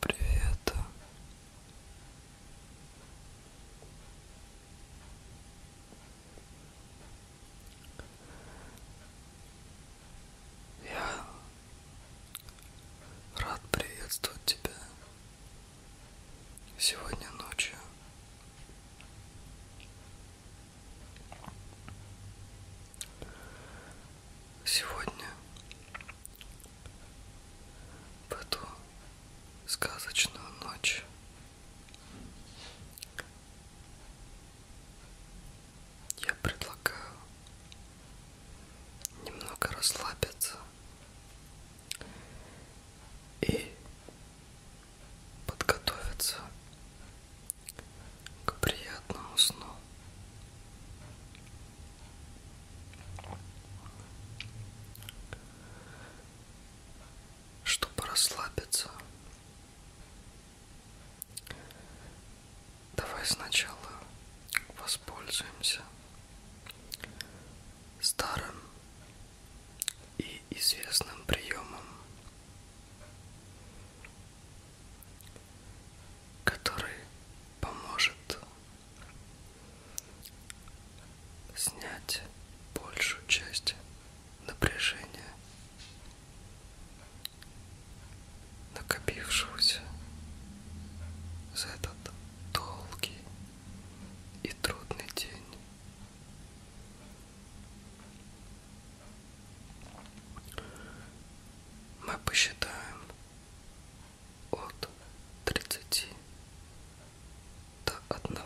Привет. Я рад приветствовать тебя сегодня ночью. Сегодня в эту сказочную ночь я предлагаю немного расслабиться и подготовиться к приятному сну. Чтобы расслабиться, давай сначала воспользуемся старым и известным приемом который поможет снять большую часть напряжения, накопившегося за этот долгий и трудный день. Мы посчитаем от 30 до 1.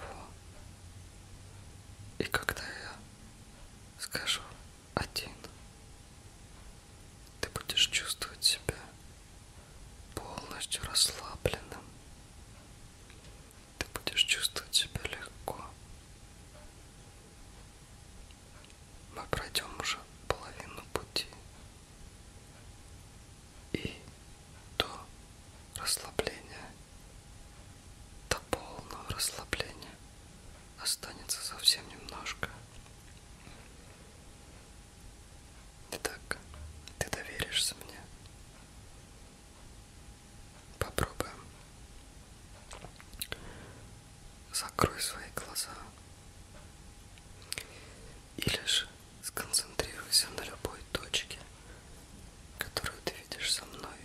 И когда я скажу один, ты будешь чувствовать себя полностью расслабленным. Ты будешь чувствовать себя легко. Мы пройдем уже половину пути. И до расслабления, до полного расслабления останется совсем немножко. Итак, ты доверишься мне. Попробуем. Закрой свои глаза. Или же сконцентрируйся на любой точке, которую ты видишь со мной.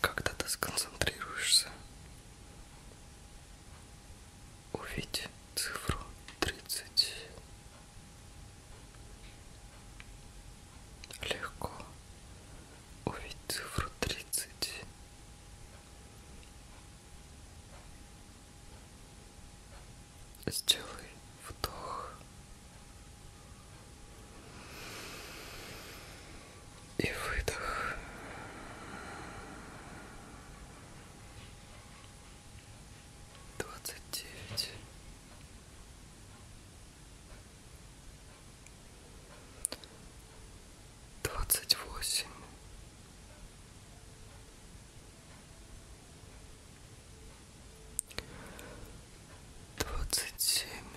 Когда ты сконцентрируешься, увидь цифру тридцать Легко увидеть цифру 30. Сделай вдох и выдох двадцать девять, двадцать восемь. Двадцать семь,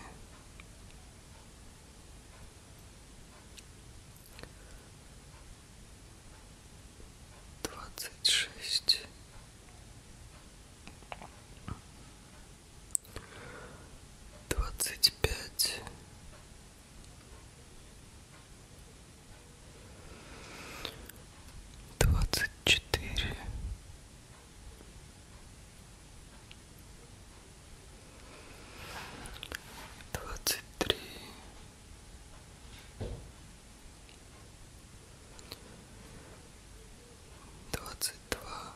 двадцать шесть, двадцать пять, двадцать четыре. Двадцать три, двадцать два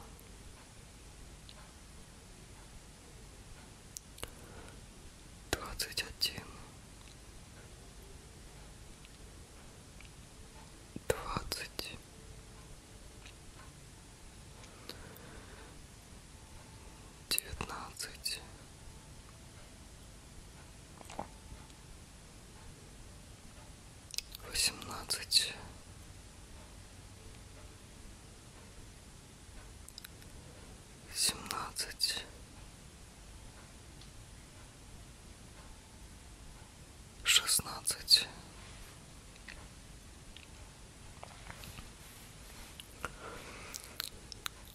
двадцать один двадцать девятнадцать восемнадцать, семнадцать, шестнадцать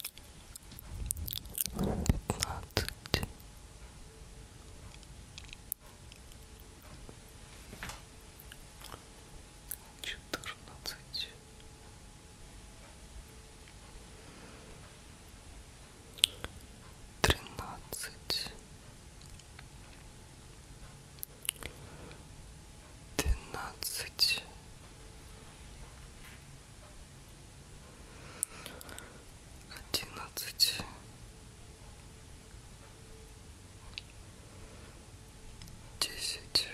пятнадцать четырнадцать тринадцать двенадцать одиннадцать десять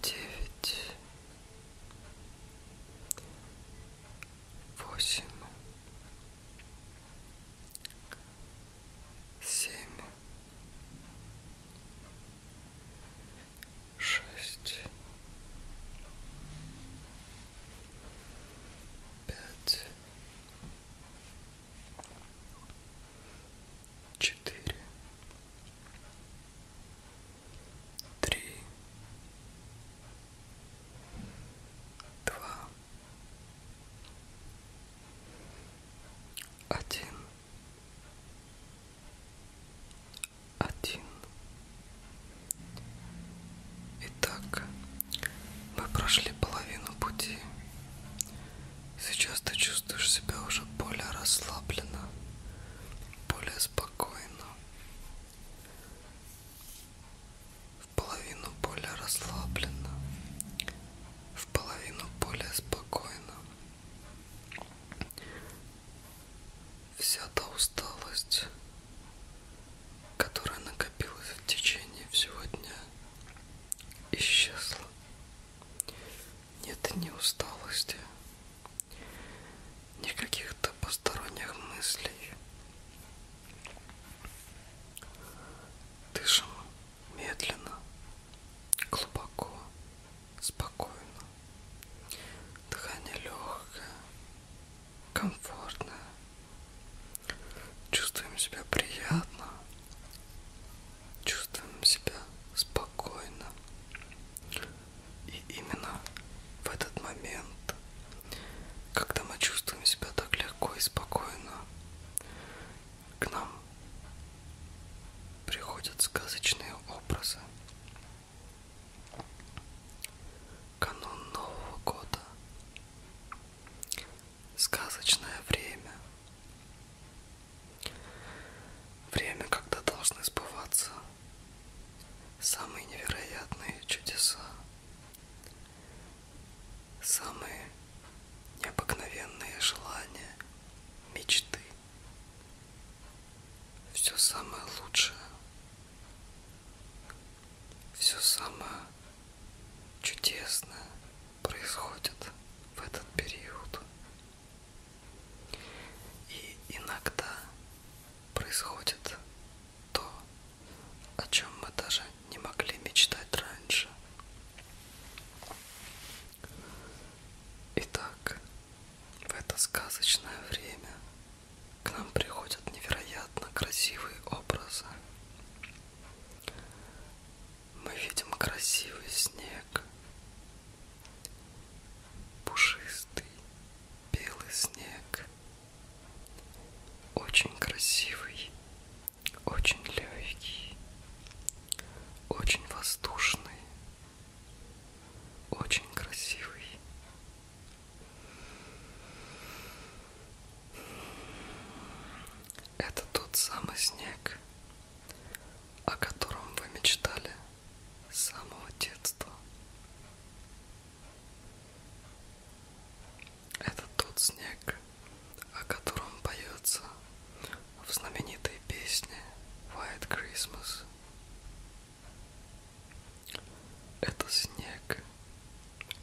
девять восемь семь шесть, пять, четыре, три, два, один один. Итак, мы прошли половину пути. Сейчас ты чувствуешь себя уже более расслабленно, более спокойно. В половину более расслабленно, в половину более спокойно. Вся та усталость, которая накопилась в течение всего дня, исчезла. Нет ни усталости, ни каких-то посторонних мыслей. Дышим медленно, глубоко, спокойно. Дыхание легкое, комфортное. Чувствуем себя приятно, чувствуем себя спокойно. И именно в этот момент, когда мы чувствуем себя так легко и спокойно, к нам приходят сказочные образы. Канун Нового года. Сказочное время. Время, когда должны сбываться самые невероятные чудеса, самые необыкновенные желания, мечты все самое лучшее, все самое чудесное происходит в этот период. И иногда происходит то, о чем мы даже не могли мечтать раньше. Итак, в это сказочное время к нам приходят невероятно красивые образы. Мы видим красивый снег, пушистый белый снег, очень красивый, очень легкий, очень воздушный, очень красивый. Это тот самый снег, о котором вы мечтали с самого детства. Это тот снег, о котором поется в знаменитой песне White Christmas. Это снег,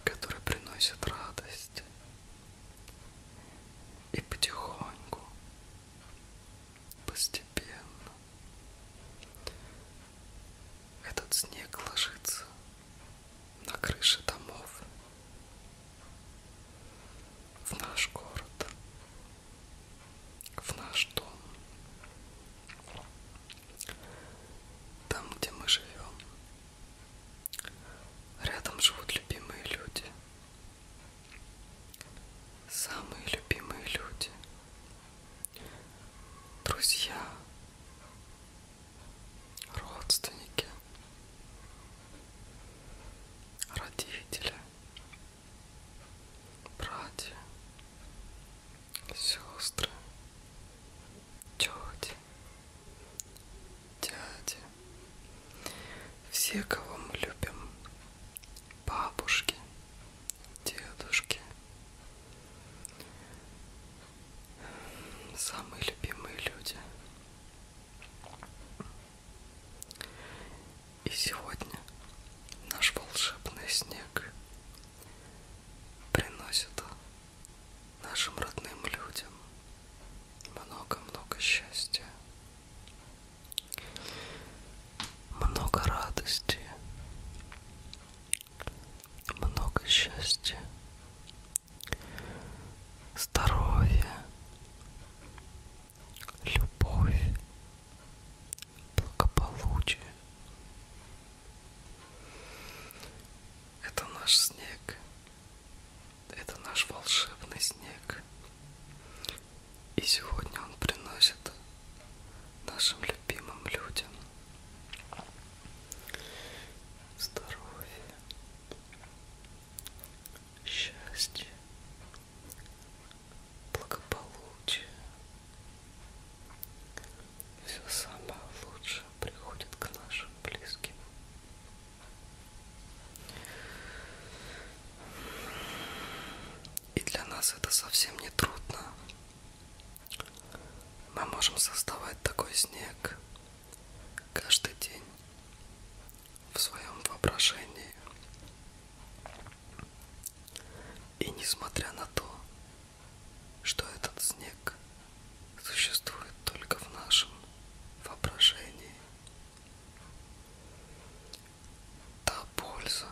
который приносит радость. И потихоньку, постепенно, этот снег ложится на крыши домов в наш город, в наш дом, там, где мы живем. Рядом живут любимые люди, самые любимые люди, друзья, родственники, родители братья, сестры, тети, дяди, все, кого мы любим, бабушки, дедушки, самые любимые люди. И сегодня наш волшебный снег приносит нашим родным людям много-много счастья, много радости, много счастья, здоровья, любовь, благополучие. Это наш снег, это наш волшебный снег. И сегодня он приносит нашим любимым людям здоровье, счастья, благополучия. Все самое лучшее приходит к нашим близким. И для нас это совсем не трудно. Мы можем создавать такой снег каждый день в своем воображении. И несмотря на то, что этот снег существует только в нашем воображении, та польза,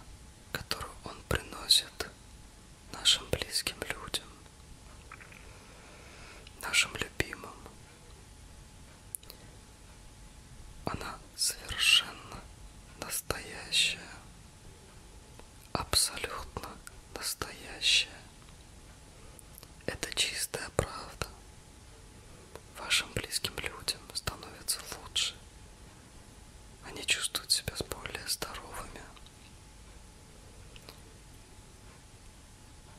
которую он приносит нашим близким людям, нашим любимым, она совершенно настоящая, абсолютно настоящая. Это чистая правда. Вашим близким людям становится лучше. Они чувствуют себя более здоровыми,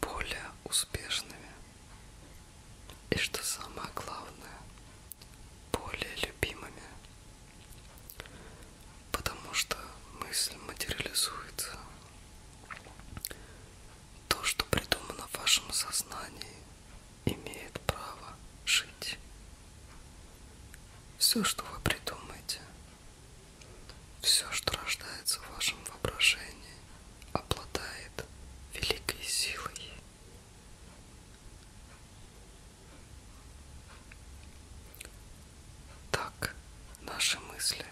более успешными, и, что самое главное, более любимыми, потому что мысль материализуется. То, что придумано в вашем сознании, имеет право жить. Все, что вы придумаете, все, что рождается в вашем воображении, обладает великой силой. Так, наши мысли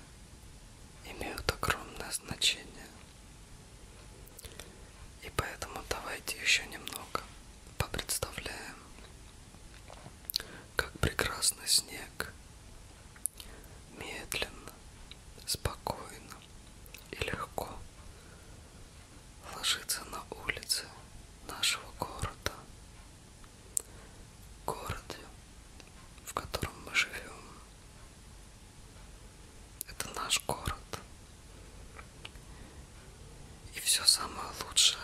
имеют огромное значение. И поэтому давайте еще немного попредставляем, как прекрасный снег медленно, спокойно и легко ложится на улице нашего города, городе, в котором мы живем. Это наш город. И все самое лучшее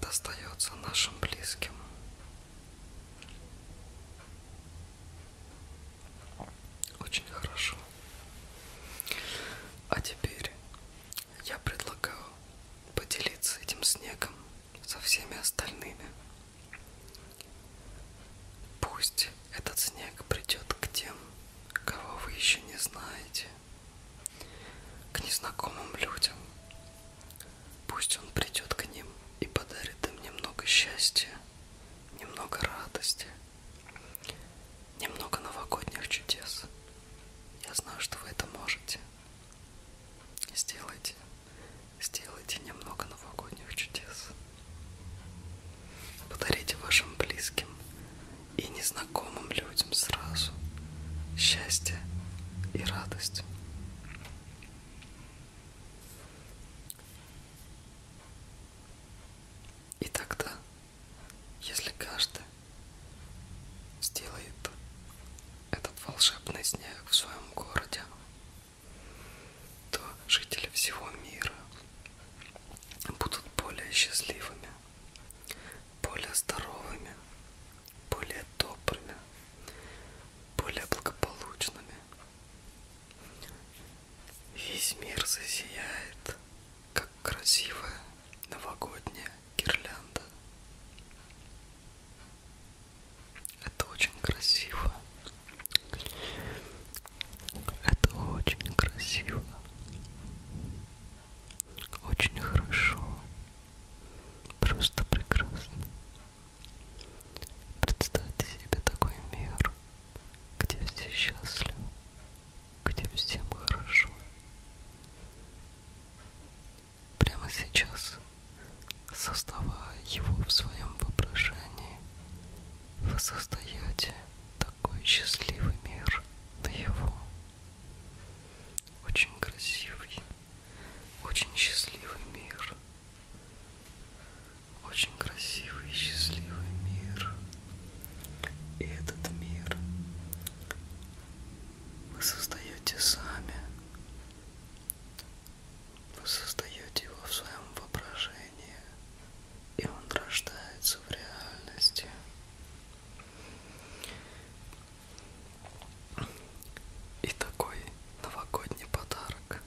достается нашим близким. Очень хорошо. А теперь я предлагаю поделиться этим снегом со всеми остальными. Пусть этот снег придет к тем, кого вы еще не знаете, к незнакомым людям. Пусть он придет к ним и подарит им немного счастья немного радости, немного новогодних чудес. Я знаю, что вы это можете. Сделайте, сделайте немного новогодних чудес. Подарите вашим близким и незнакомым людям сразу счастье и радость. И тогда, если каждый сделает этот волшебный снег в своем городе, то жители всего мира будут более счастливыми, более здоровыми, более добрыми, более благополучными Весь мир засияет, как красивая новогодняя гирлянда. Это очень красиво. Это очень красиво. Очень хорошо. Просто прекрасно. Представьте себе такой мир, где все счастливы, где всем хорошо. Прямо сейчас, создавая его в своем воображении, вы создаете такой счастливый мир на его. Очень красивый, очень счастливый мир очень красивый и счастливый мир. И этот мир вы создаете сами. Вы создаете его в своем воображении, и он рождается в реальности. И такой новогодний подарок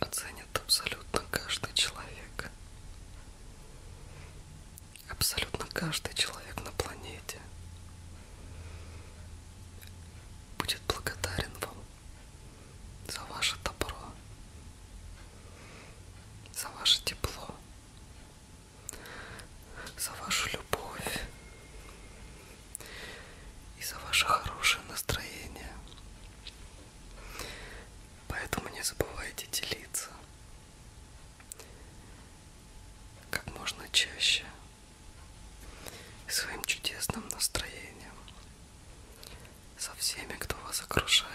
оценит абсолютно каждый человек. Абсолютно каждый человек на планете будет благодарен вам за ваше добро, за ваше тепло, за вашу любовь, и за ваше хорошее настроение. Поэтому не забывайте делиться как можно чаще своим чудесным настроением со всеми, кто вас окружает.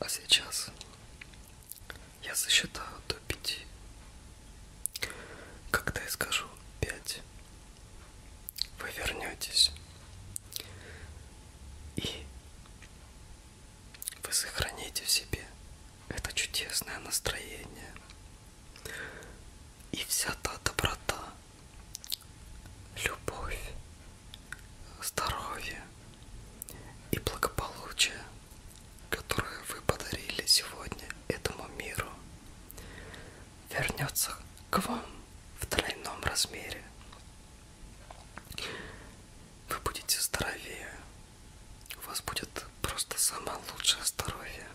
А сейчас я сосчитаю до пяти. Когда я скажу пять, вы вернетесь. И вы сохраните в себе это чудесное настроение. И вся та доброта, любовь, здоровье и благополучие, которые вы подарили сегодня этому миру, вернется к вам в тройном размере. Вы будете здоровее. У вас будет просто самое лучшее здоровье.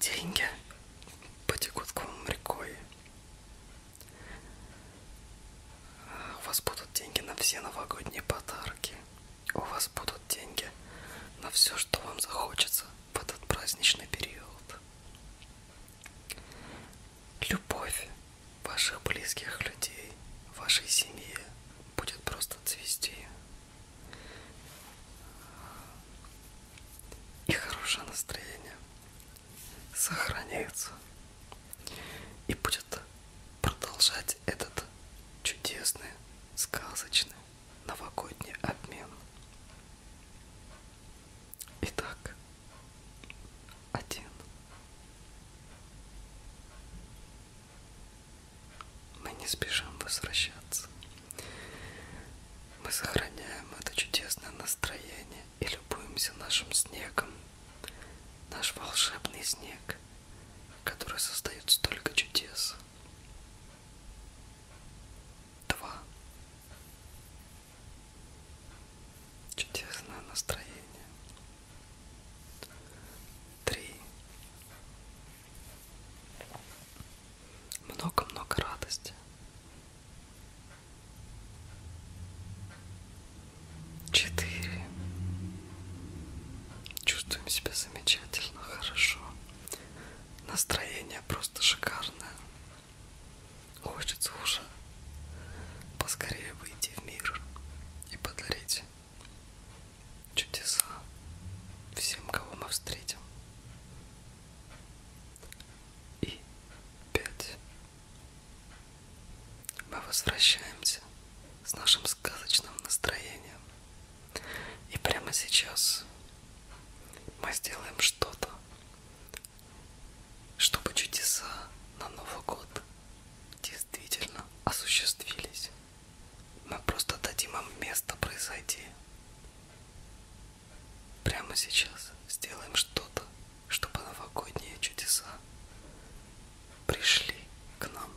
Деньги потекут к вам рекой. У вас будут деньги на все новогодние подарки. У вас будут деньги на все, что вам захочется в этот праздничный период. Любовь ваших близких людей, вашей семьи будет просто цвести и хорошее настроение сохраняется и будет продолжать этот чудесный, сказочный новогодний обмен. Итак, один. Мы не спешим возвращаться. Мы сохраняем это чудесное настроение и любуемся нашим снегом. Наш волшебный снег, который создает столько чудес. Два. Чудесное настроение. Три много-много радости. Четыре. Чувствуем себя замечательно, хорошо. Настроение просто шикарное. Хочется уже поскорее выйти в мир и подарить чудеса всем, кого мы встретим и 5. Мы возвращаемся с нашим сказочным настроением. И прямо сейчас мы сделаем что-то, чтобы чудеса на Новый год действительно осуществились. Мы просто дадим им место произойти. Прямо сейчас сделаем что-то, чтобы новогодние чудеса пришли к нам.